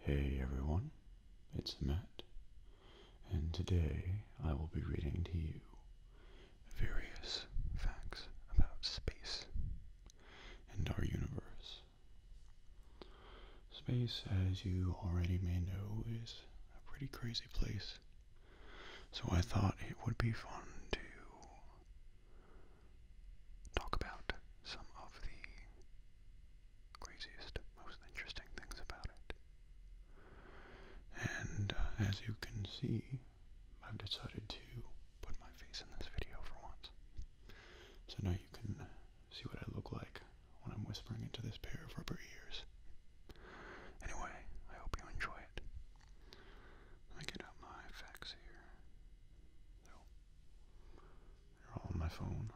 Hey everyone, it's Matt, and today I will be reading to you various facts about space and our universe. Space, as you already may know, is a pretty crazy place, so I thought it would be fun to talk about some of the craziest, most interesting things about it. And uh, as you can see, I've decided to put my face in this video for once. So now you can see what I look like when I'm whispering into this pair of rubber ears. Anyway, I hope you enjoy it. Let me get out my facts here. So, they're all on my phone.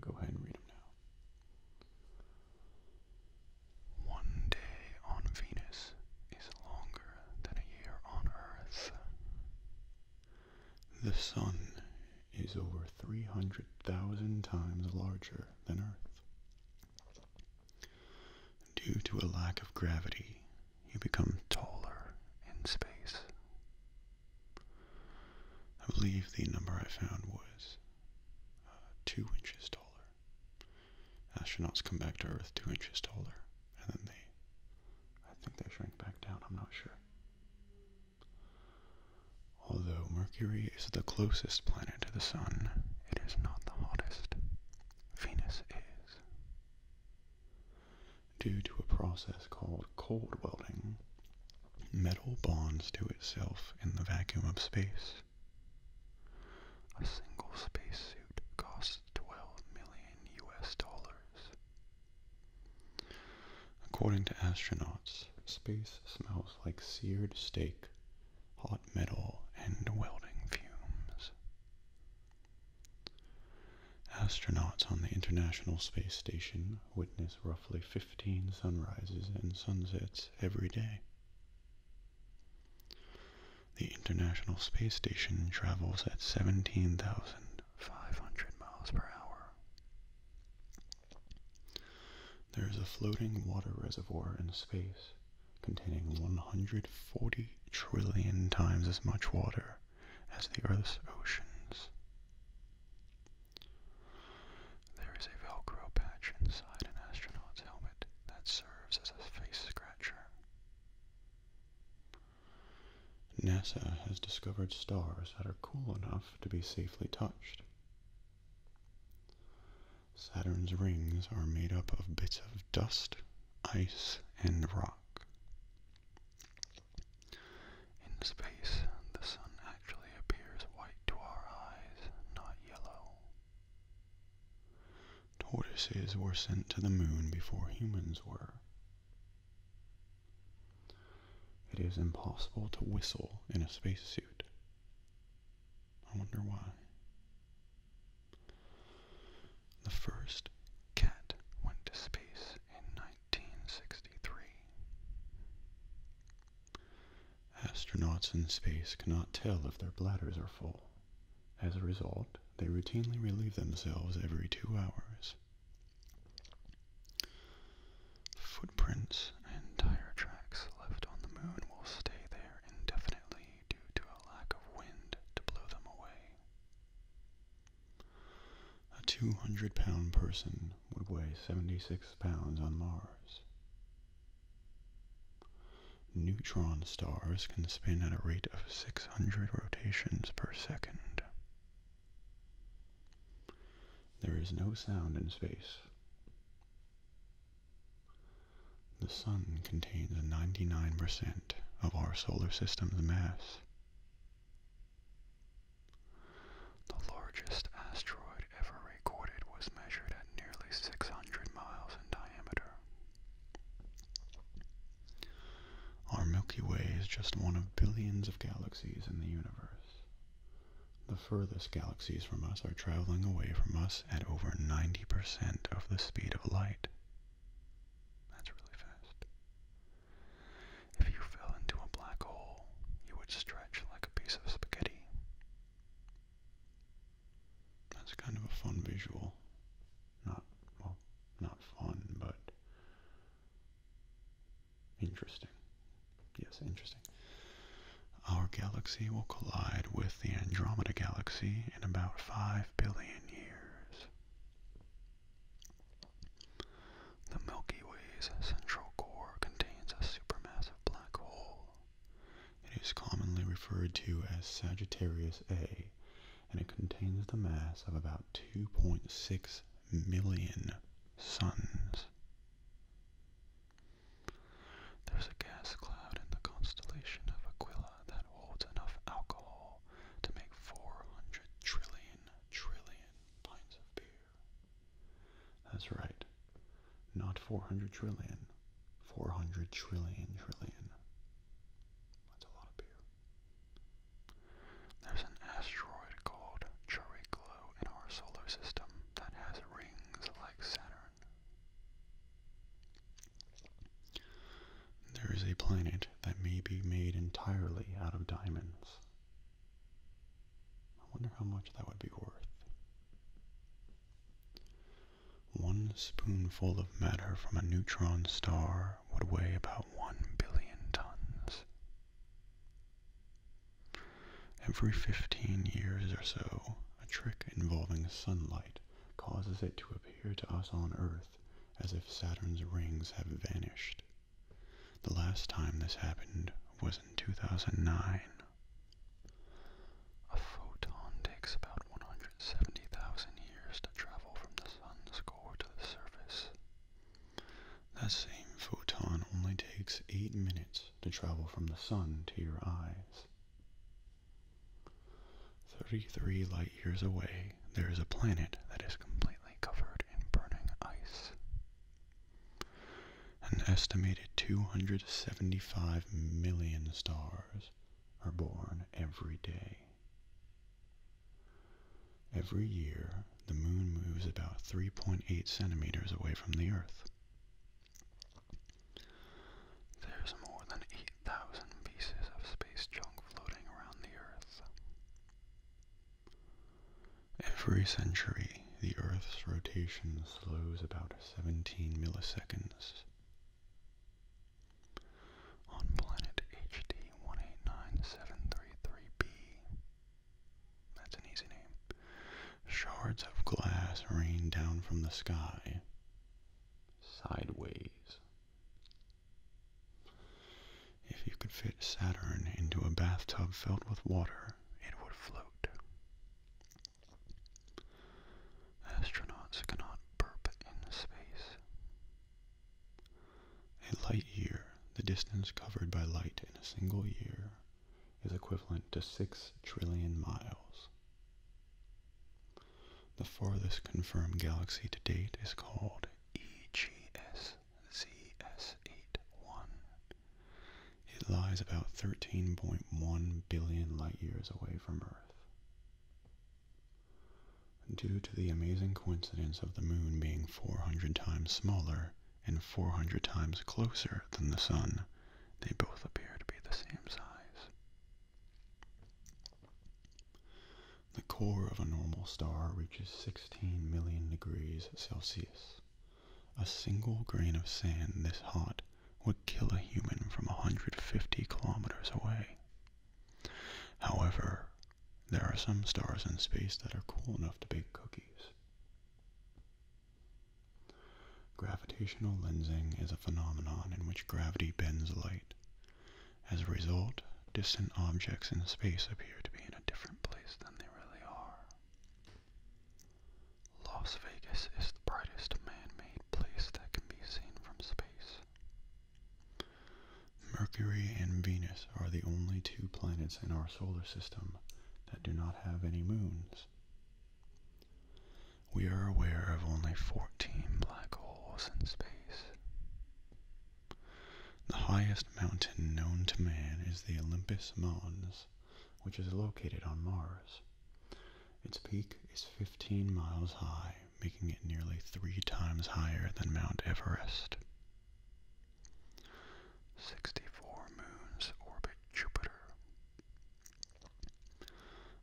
go ahead and read them now. One day on Venus is longer than a year on Earth. The sun is over 300,000 times larger than Earth. Due to a lack of gravity, you become taller in space. I believe the number I found was uh, two inches taller. Astronauts come back to Earth two inches taller, and then they, I think they shrink back down, I'm not sure. Although Mercury is the closest planet to the Sun, it is not the hottest. Venus is. Due to a process called cold welding, metal bonds to itself in the vacuum of space. A single spacesuit costs 12 million US dollars. According to astronauts, space smells like seared steak, hot metal, and welding fumes. Astronauts on the International Space Station witness roughly 15 sunrises and sunsets every day. The International Space Station travels at 17,500 miles per hour. There is a floating water reservoir in space containing 140 trillion times as much water as the Earth's oceans. There is a Velcro patch inside an astronaut's helmet that serves as a face scratcher. NASA has discovered stars that are cool enough to be safely touched. Saturn's rings are made up of bits of dust, ice, and rock. In space, the sun actually appears white to our eyes, not yellow. Tortoises were sent to the moon before humans were. It is impossible to whistle in a spacesuit. I wonder why. The first cat went to space in 1963. Astronauts in space cannot tell if their bladders are full. As a result, they routinely relieve themselves every two hours. Footprints and tire tracks left on the moon will stay there indefinitely due to a lack of wind to blow them away. A 200 pound person would weigh 76 pounds on Mars. Neutron stars can spin at a rate of 600 rotations per second. There is no sound in space. The Sun contains 99% of our solar system's mass. The largest asteroid ever recorded was measured at nearly 600 miles in diameter. Our Milky Way is just one of billions of galaxies in the universe. The furthest galaxies from us are traveling away from us at over 90% of the speed of light. That's really fast. If you fell into a black hole, you would stretch like a piece of spaghetti. That's kind of a fun visual. Not, well, not fun, but interesting. Yes, interesting. Our galaxy will collide with the Andromeda Galaxy in about 5 billion years. The Milky Way's central core contains a supermassive black hole. It is commonly referred to as Sagittarius A, and it contains the mass of about 2.6 million suns. There's a gas cloud in the constellation of Aquila that holds enough alcohol to make 400 trillion trillion pints of beer. That's right. Not 400 trillion. 400 trillion trillion. That's a lot of beer. There's an asteroid called Chiriclo in our solar system that has rings like Saturn. There is a planet that may be made entirely out of diamonds. I wonder how much that would be worth. One spoonful of matter from a neutron star would weigh about one billion tons. Every 15 years or so, a trick involving sunlight causes it to appear to us on Earth as if Saturn's rings have vanished. The last time this happened was in 2009. A photon takes about 170,000 years to travel from the sun's core to the surface. That same photon only takes 8 minutes to travel from the sun to your eyes. 33 light years away, there is a planet that is completely covered in burning ice. An estimated 275 million stars are born every day. Every year, the moon moves about 3.8 centimeters away from the Earth. There's more than 8,000 pieces of space junk floating around the Earth. Every century, the Earth's rotation slows about 17 milliseconds. On planet HD 189733b, that's an easy name, shards of glass rain down from the sky, sideways. If you could fit Saturn into a bathtub filled with water, it would float. Astronauts cannot burp in space. A light year, the distance covered by light in a single year, is equivalent to 6 trillion miles. The farthest confirmed galaxy to date is called EGS ZS81 it lies about 13.1 billion light years away from Earth. Due to the amazing coincidence of the moon being 400 times smaller and 400 times closer than the sun, they both appear to be the same size. The core of a normal star reaches 16 million degrees Celsius. A single grain of sand this hot would kill a human from 150 kilometers away. However, there are some stars in space that are cool enough to bake cookies. Gravitational lensing is a phenomenon in which gravity bends light. As a result, distant objects in space appear to be in a different place than they really are. Las Vegas is the brightest man-made place that can be seen from space. Mercury and Venus are the only two planets in our solar system that do not have any moons. We are aware of only 14 black holes in space. The highest mountain known to man is the Olympus Mons, which is located on Mars. Its peak is 15 miles high, making it nearly three times higher than Mount Everest. 64 moons orbit Jupiter.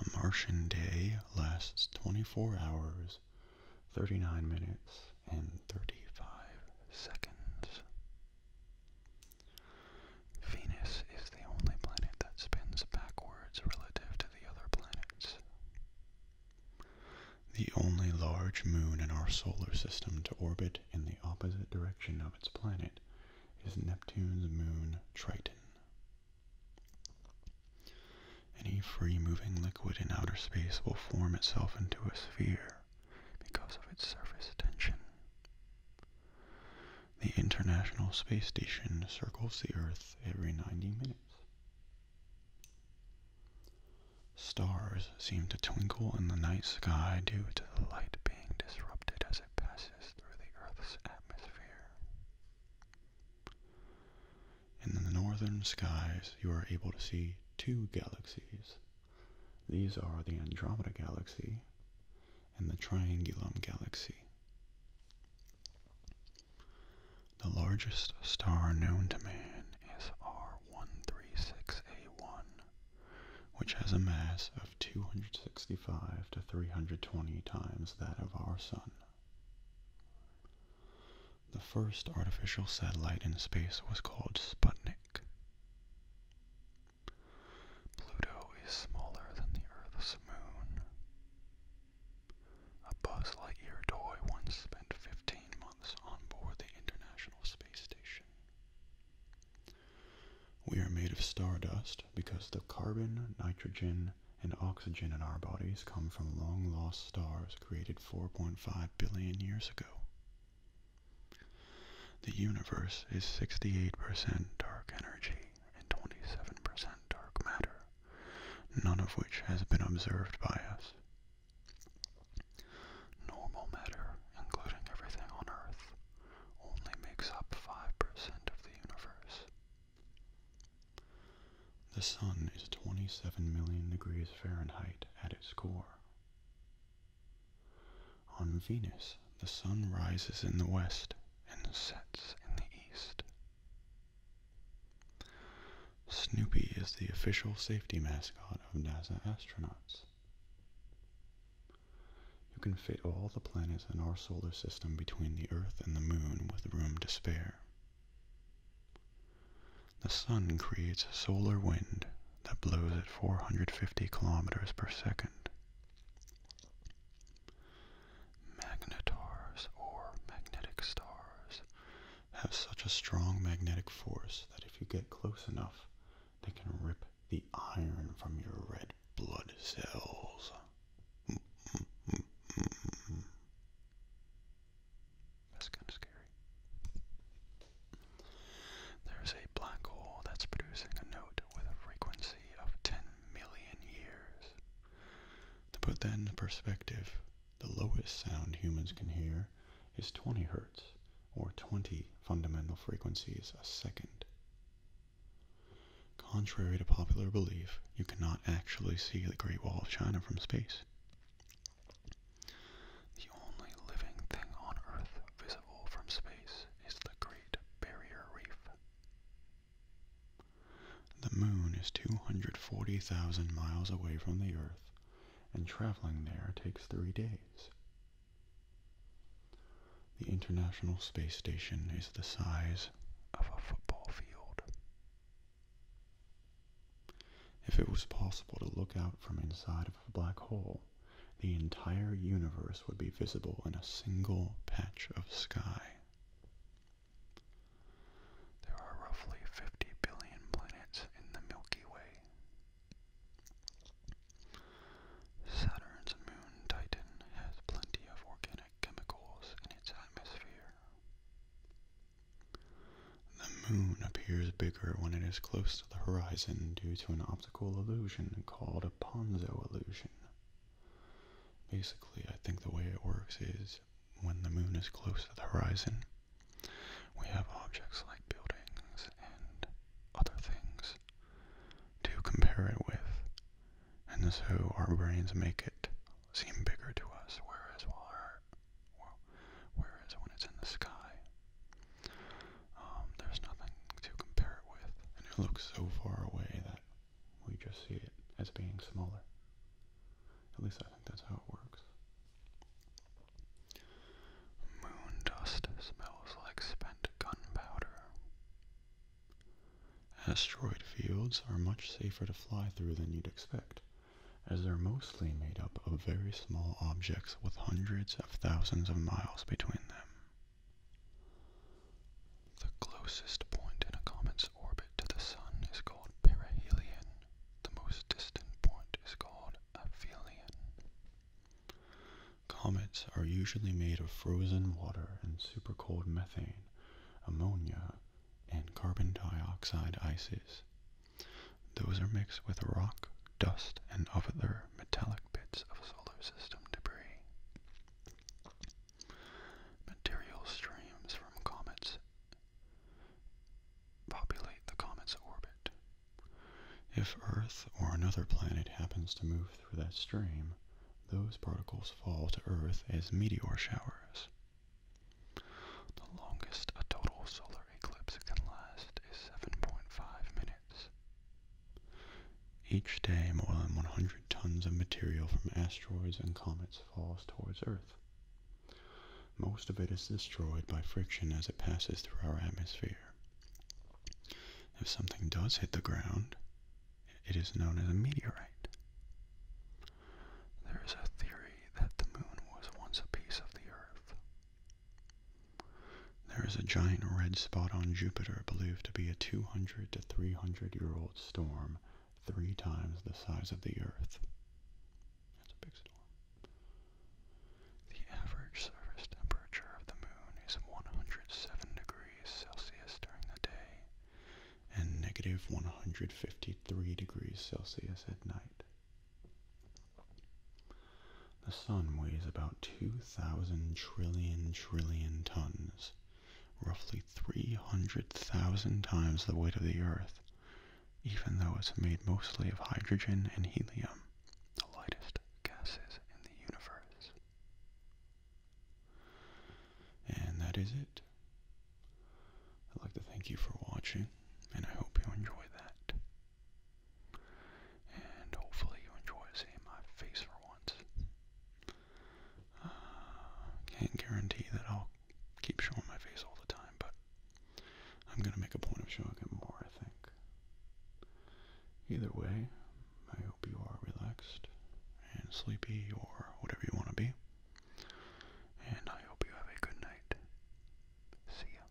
A Martian day lasts 24 hours, 39 minutes, and 35 seconds. Venus is the only planet that spins backwards relative to the other planets. The only large moon in our solar system to orbit in the opposite direction of its planet is Neptune's moon Triton. Any free moving liquid in outer space will form itself into a sphere because of its surface tension. The International Space Station circles the Earth every 90 minutes. Stars seem to twinkle in the night sky due to the light being disrupted as it passes through the Earth's atmosphere. In the northern skies, you are able to see two galaxies these are the Andromeda Galaxy and the Triangulum Galaxy. The largest star known to man is R136A1, which has a mass of 265 to 320 times that of our Sun. The first artificial satellite in space was called Sputnik Pluto is smaller than the Earth's moon. A Buzz Lightyear toy once spent 15 months on board the International Space Station. We are made of stardust because the carbon, nitrogen, and oxygen in our bodies come from long lost stars created 4.5 billion years ago. The universe is 68% dark energy and 27% dark matter, none of which has been observed by us. Normal matter, including everything on Earth, only makes up 5% of the universe. The Sun is 27 million degrees Fahrenheit at its core. On Venus, the sun rises in the west and sets in the east. Snoopy is the official safety mascot of NASA astronauts. You can fit all the planets in our solar system between the Earth and the Moon with room to spare. The sun creates solar wind that blows at 450 kilometers per second. Magnetars, or magnetic stars, have such a strong magnetic force that if you get close enough, they can rip the iron from your red blood cells. Mm, mm, mm, That's kind of scary. There's a black hole that's producing a note with a frequency of 10 million years. To put that in perspective, the lowest sound humans can hear is 20 hertz, or 20 fundamental frequencies a second. Contrary to popular belief, you cannot actually see the Great Wall of China from space. The only living thing on Earth visible from space is the Great Barrier Reef. The moon is 240,000 miles away from the Earth, and traveling there takes three days. The International Space Station is the size of a football field. If it was possible to look out from inside of a black hole, the entire universe would be visible in a single patch of sky. There are roughly 50 billion planets in the Milky Way. Saturn's moon Titan has plenty of organic chemicals in its atmosphere. The moon appears bigger when it is close to the horizon due to an illusion called a Ponzo illusion. Basically, I think the way it works is when the moon is close to the horizon, we have objects like buildings and other things to compare it with, and so our brains make it seem bigger to us, whereas, while our, whereas when it's in the sky, um, there's nothing to compare it with, and it looks so far away that we just see it as being smaller. At least I think that's how it works. Moon dust smells like spent gunpowder. Asteroid fields are much safer to fly through than you'd expect, as they're mostly made up of very small objects with hundreds of thousands of miles between them. The closest point in a comet's orbit to the Sun is called perihelion. The most distant point is called aphelion. Comets are usually made of frozen water and super cold methane, ammonia, and carbon dioxide ices. Those are mixed with rock, dust, and other metallic cockpits of solar system debris. Material streams from comets populate the comet's orbit. If Earth or another planet happens to move through that stream, those particles fall to Earth as meteor showers. The longest a total solar eclipse can last is 7.5 minutes. Each day, more than 100 tons of material from asteroids and comets falls towards Earth. Most of it is destroyed by friction as it passes through our atmosphere. If something does hit the ground, it is known as a meteorite. There is a theory that the moon was once a piece of the Earth. There is a giant red spot on Jupiter believed to be a 200 to 300 year old storm, three times the size of the Earth. That's a big storm. The average surface temperature of the moon is 107 degrees Celsius during the day and negative 153 degrees Celsius at night. The sun weighs about 2,000 trillion trillion tons, roughly 300,000 times the weight of the Earth, even though it's made mostly of hydrogen and helium, the lightest gases in the universe. And that is it. I'd like to thank you for watching, and I hope you enjoy that. And hopefully you enjoy seeing my face for once. Uh, can't guarantee that I'll keep showing my face all the time, but I'm gonna make a point of showing it more, I think. Either way, I hope you are relaxed and sleepy or whatever you want to be. And I hope you have a good night. See ya.